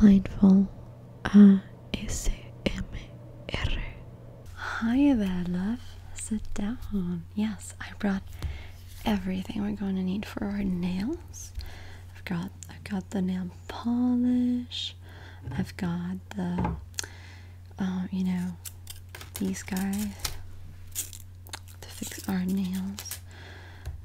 Mindful ASMR. Hi there, love. Sit down. Yes, I brought everything we're going to need for our nails. I've got I've got the nail polish. I've got the um, you know these guys to fix our nails.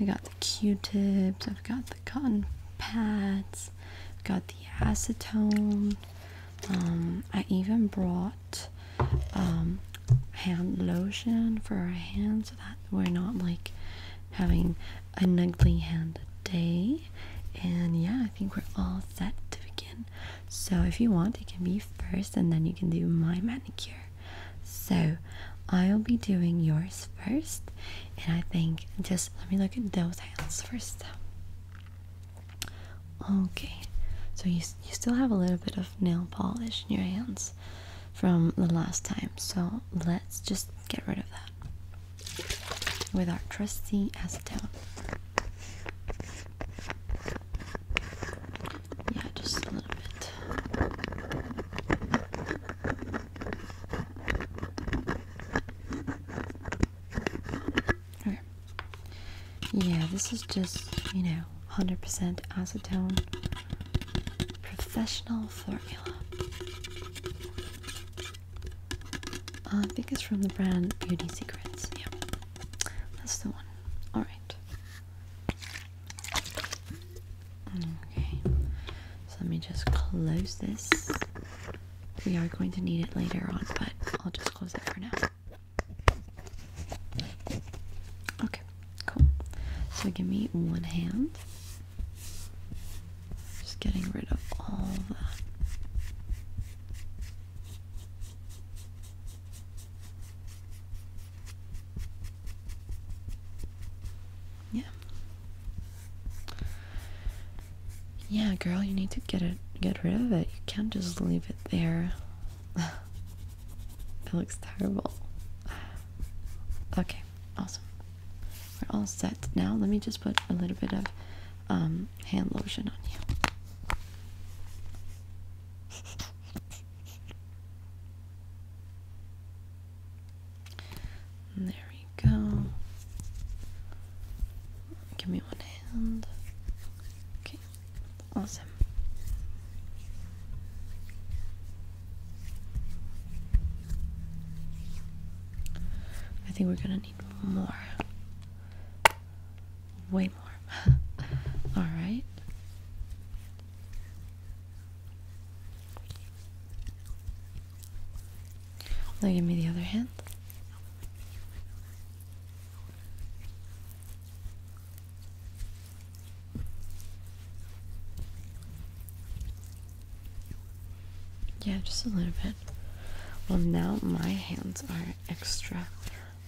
I got the Q-tips. I've got the cotton pads, got the acetone. Um, I even brought um, hand lotion for our hands so that we're not like having an ugly hand day. And yeah, I think we're all set to begin. So if you want, you can be first and then you can do my manicure. So I'll be doing yours first. And I think just let me look at those hands first. Okay, so you, you still have a little bit of nail polish in your hands from the last time. So let's just get rid of that with our trusty acetone. Yeah, just a little bit. Yeah, this is just, you know, 100% acetone professional formula. Uh, I think it's from the brand Beauty Secrets. Yeah, that's the one. Alright. Okay, so let me just close this. We are going to need it later on, but I'll just close it for now. Okay, cool. So give me one hand. Just getting rid of all that. Yeah. Yeah, girl, you need to get it get rid of it. You can't just leave it there. it looks terrible. Okay, awesome. We're all set. Now let me just put a little bit of um, hand lotion on you. There you go. Give me one hand. Okay, awesome. I think we're gonna need more. Way more. Alright. Now give me the other hand. Yeah, just a little bit. Well, now my hands are extra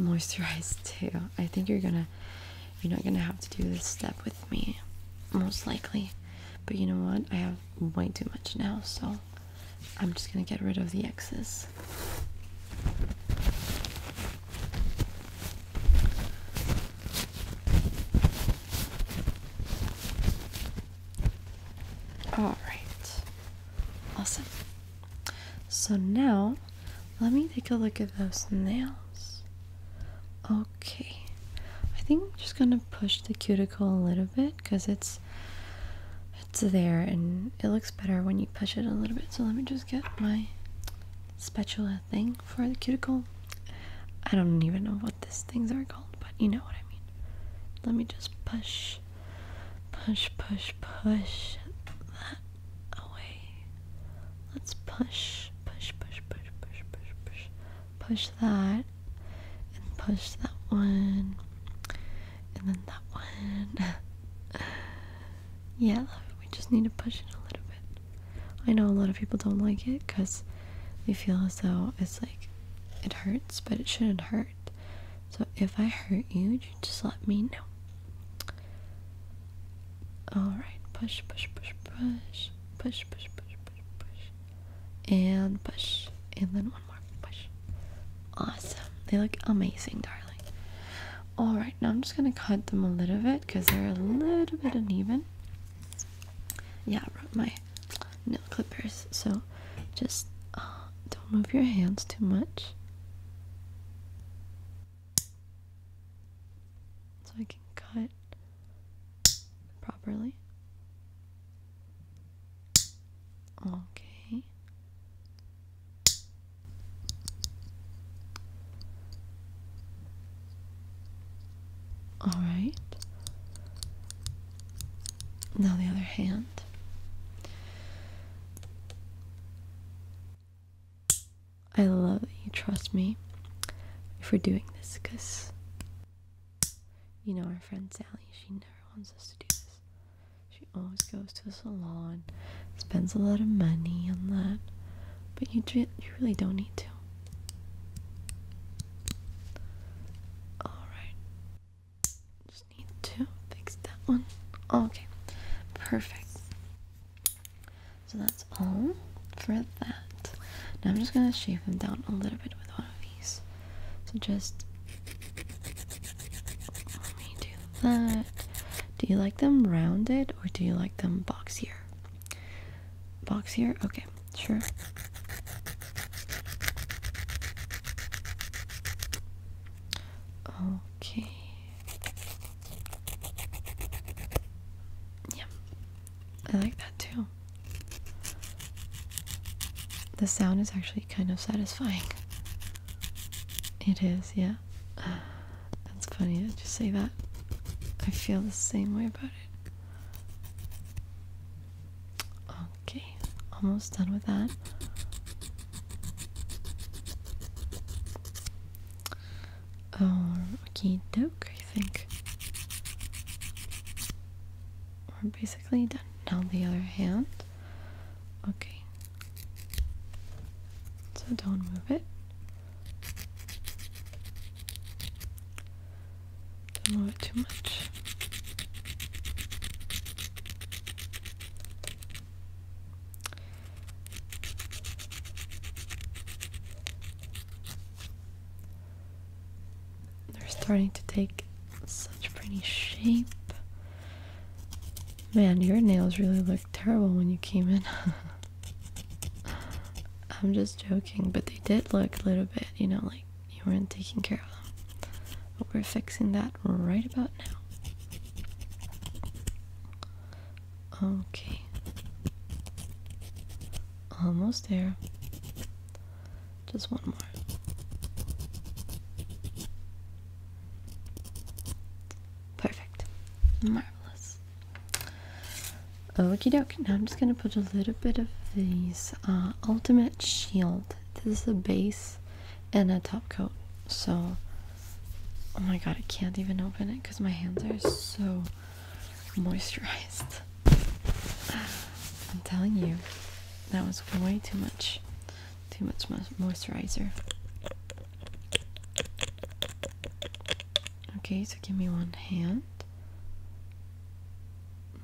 moisturized too. I think you're gonna you're not gonna have to do this step with me, most likely. But you know what? I have way too much now, so I'm just gonna get rid of the X's. All right, awesome. So now, let me take a look at those nails. Okay, I think I'm just gonna push the cuticle a little bit because it's it's there and it looks better when you push it a little bit. So let me just get my spatula thing for the cuticle. I don't even know what these things are called, but you know what I mean. Let me just push, push, push, push that away. Let's push, push, push, push, push, push, push, push that, and push that one, and then that one. yeah, we just need to push it a little bit. I know a lot of people don't like it because they feel as though it's like it hurts, but it shouldn't hurt. So if I hurt you, you just let me know. Alright, push, push, push, push, push, push, push, push, push, and push, and then one more push. Awesome. They look amazing, darling. Alright, now I'm just gonna cut them a little bit because they're a little bit uneven. Yeah, I brought my nail clippers, so just uh, don't move your hands too much so I can cut properly. Okay. All right. Now the other hand. I love that you trust me for doing this because you know our friend Sally, she never wants us to do this. She always goes to the salon, spends a lot of money on that, but you you really don't need to. All right, just need to fix that one. Okay, perfect. So that's all for that. Now I'm just going to shave them down a little bit with one of these. So just let me do that. Do you like them rounded or do you like them boxier? Boxier? Okay, sure. Okay. Yeah, I like that too. The sound is actually kind of satisfying. It is, yeah. that's funny that just say that. I feel the same way about it. Okay, almost done with that or um, okie doke, I think. We're basically done. Now the other hand. Okay. So don't move it. Don't move it too much. They're starting to take such pretty shape. Man, your nails really look terrible when you came in. I'm just joking, but they did look a little bit, you know, like you weren't taking care of them. But we're fixing that right about now. Okay. Almost there. Just one more. Perfect. Marvelous. Oh, Okie doke. Now I'm just going to put a little bit of these uh, Ultimate Shield. This is a base and a top coat. So Oh my god, I can't even open it because my hands are so moisturized. I'm telling you, that was way too much. Too much moisturizer. Okay, so give me one hand.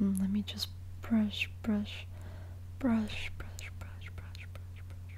Mm, let me just brush, brush, brush, brush, brush, brush, brush, brush.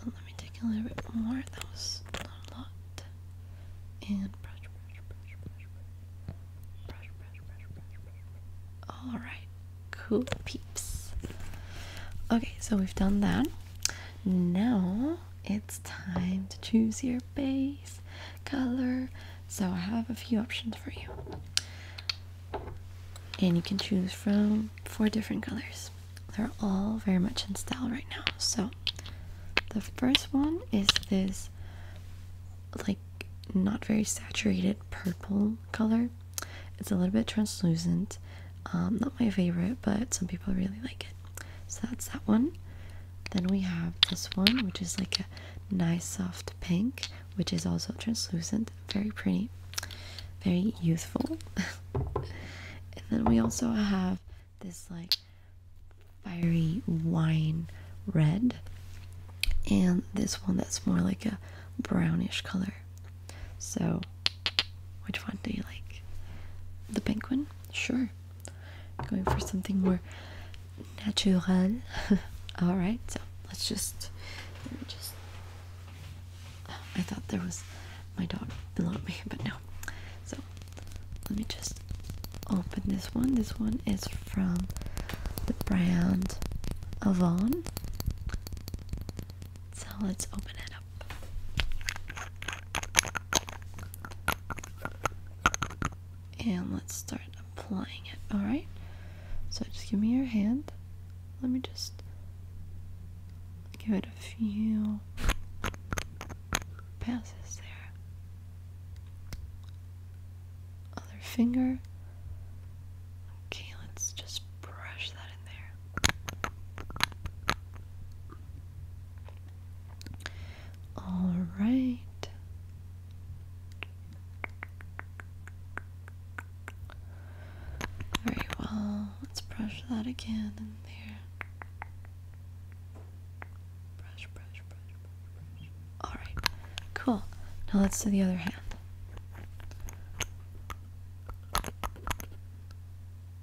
let me take a little bit more. That was not a lot. And All right, cool peeps. Okay, so we've done that. Now it's time to choose your base color. So I have a few options for you, and you can choose from four different colors. They're all very much in style right now. So the first one is this like not very saturated purple color. It's a little bit translucent. Um, not my favorite, but some people really like it. So that's that one. Then we have this one, which is like a nice soft pink, which is also translucent, very pretty, very youthful. and then we also have this like fiery wine red and this one that's more like a brownish color so which one do you like the pink one sure going for something more natural all right so let's just let me just I thought there was my dog below me, but no. So let me just open this one. This one is from the brand Avon. So let's open it up. And let's start applying it, alright? So just give me your hand. Let me just give it a few passes there. Other finger. Okay, let's just brush that in there. All right. Alright, well, let's brush that again in there. Brush, brush, brush, brush, brush. Alright, cool. Now let's do the other hand.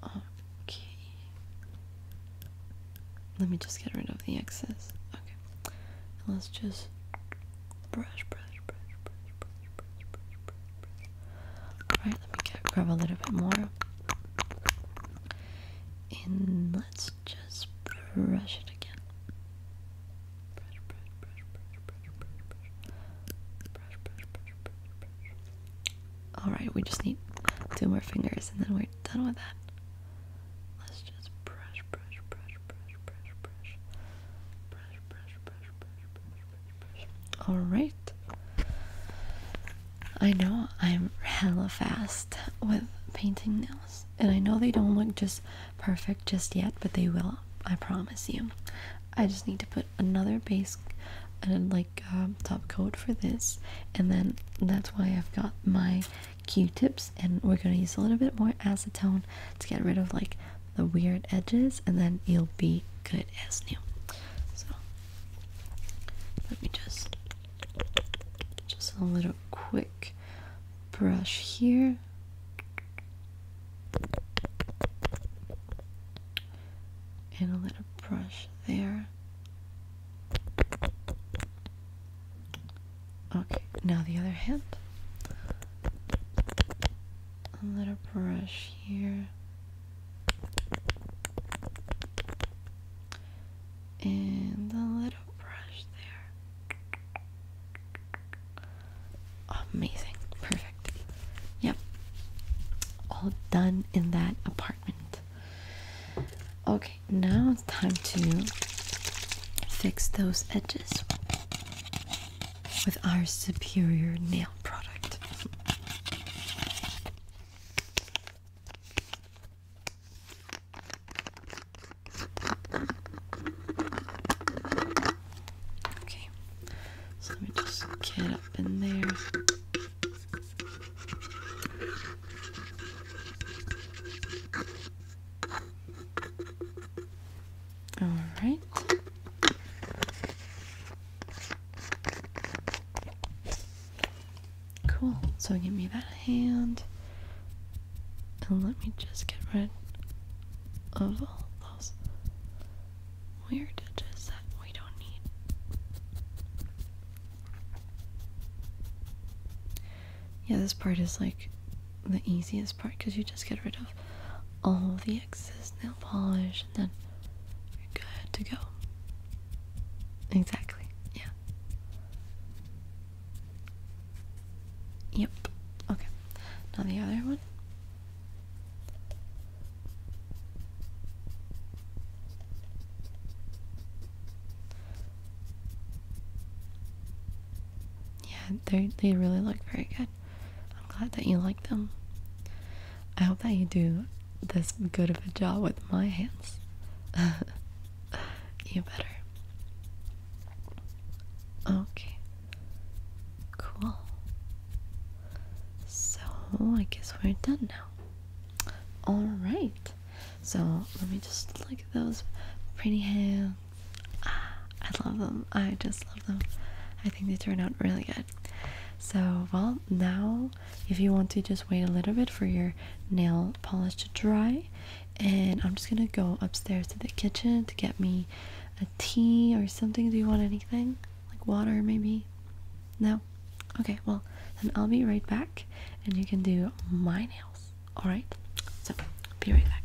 Okay. Let me just get rid of the excess. Okay. And let's just brush, brush, brush, brush, brush, brush, brush, brush, brush. Alright, let me get, grab a little bit more. And let's just brush it again. Brush, brush, brush, brush, brush, brush, brush. Brush, brush, brush, brush, brush. Alright, we just need two more fingers and then we're done with that. Let's just brush, brush, brush, brush, brush, brush. Brush, brush, brush, brush, brush, all right. I know I'm hella fast with painting nails, and I know they don't look just perfect just yet, but they will. I promise you. I just need to put another base and uh, like um, top coat for this, and then that's why I've got my Q-tips, and we're gonna use a little bit more acetone to get rid of like the weird edges and then you'll be good as new. So let me just just a little quick brush here. And a little brush there. Okay, now the other hand a little brush here and a little brush there. Amazing, perfect. Yep, all done in that apartment. Okay, now it's time to fix those edges with our superior nail product. Okay, so let me just get up in there. All right. Cool. So give me that hand. And let me just get rid of all those weird edges that we don't need. Yeah, this part is like the easiest part because you just get rid of all the excess nail polish and then you're good to go. Exactly, yeah. Yep, okay. Now the other one. Yeah, they they really look very good. I'm glad that you like them. I hope that you do this good of a job with my hands. you better. Okay. Cool. So, I guess we're done now. Alright. So, let me just look at those pretty hands. Ah, I love them. I just love them. I think they turn out really good. So, well, now if you want to just wait a little bit for your nail polish to dry, and I'm just gonna go upstairs to the kitchen to get me a tea or something. Do you want anything? Like water, maybe? No? Okay, well, then I'll be right back and you can do my nails. Alright? So, be right back.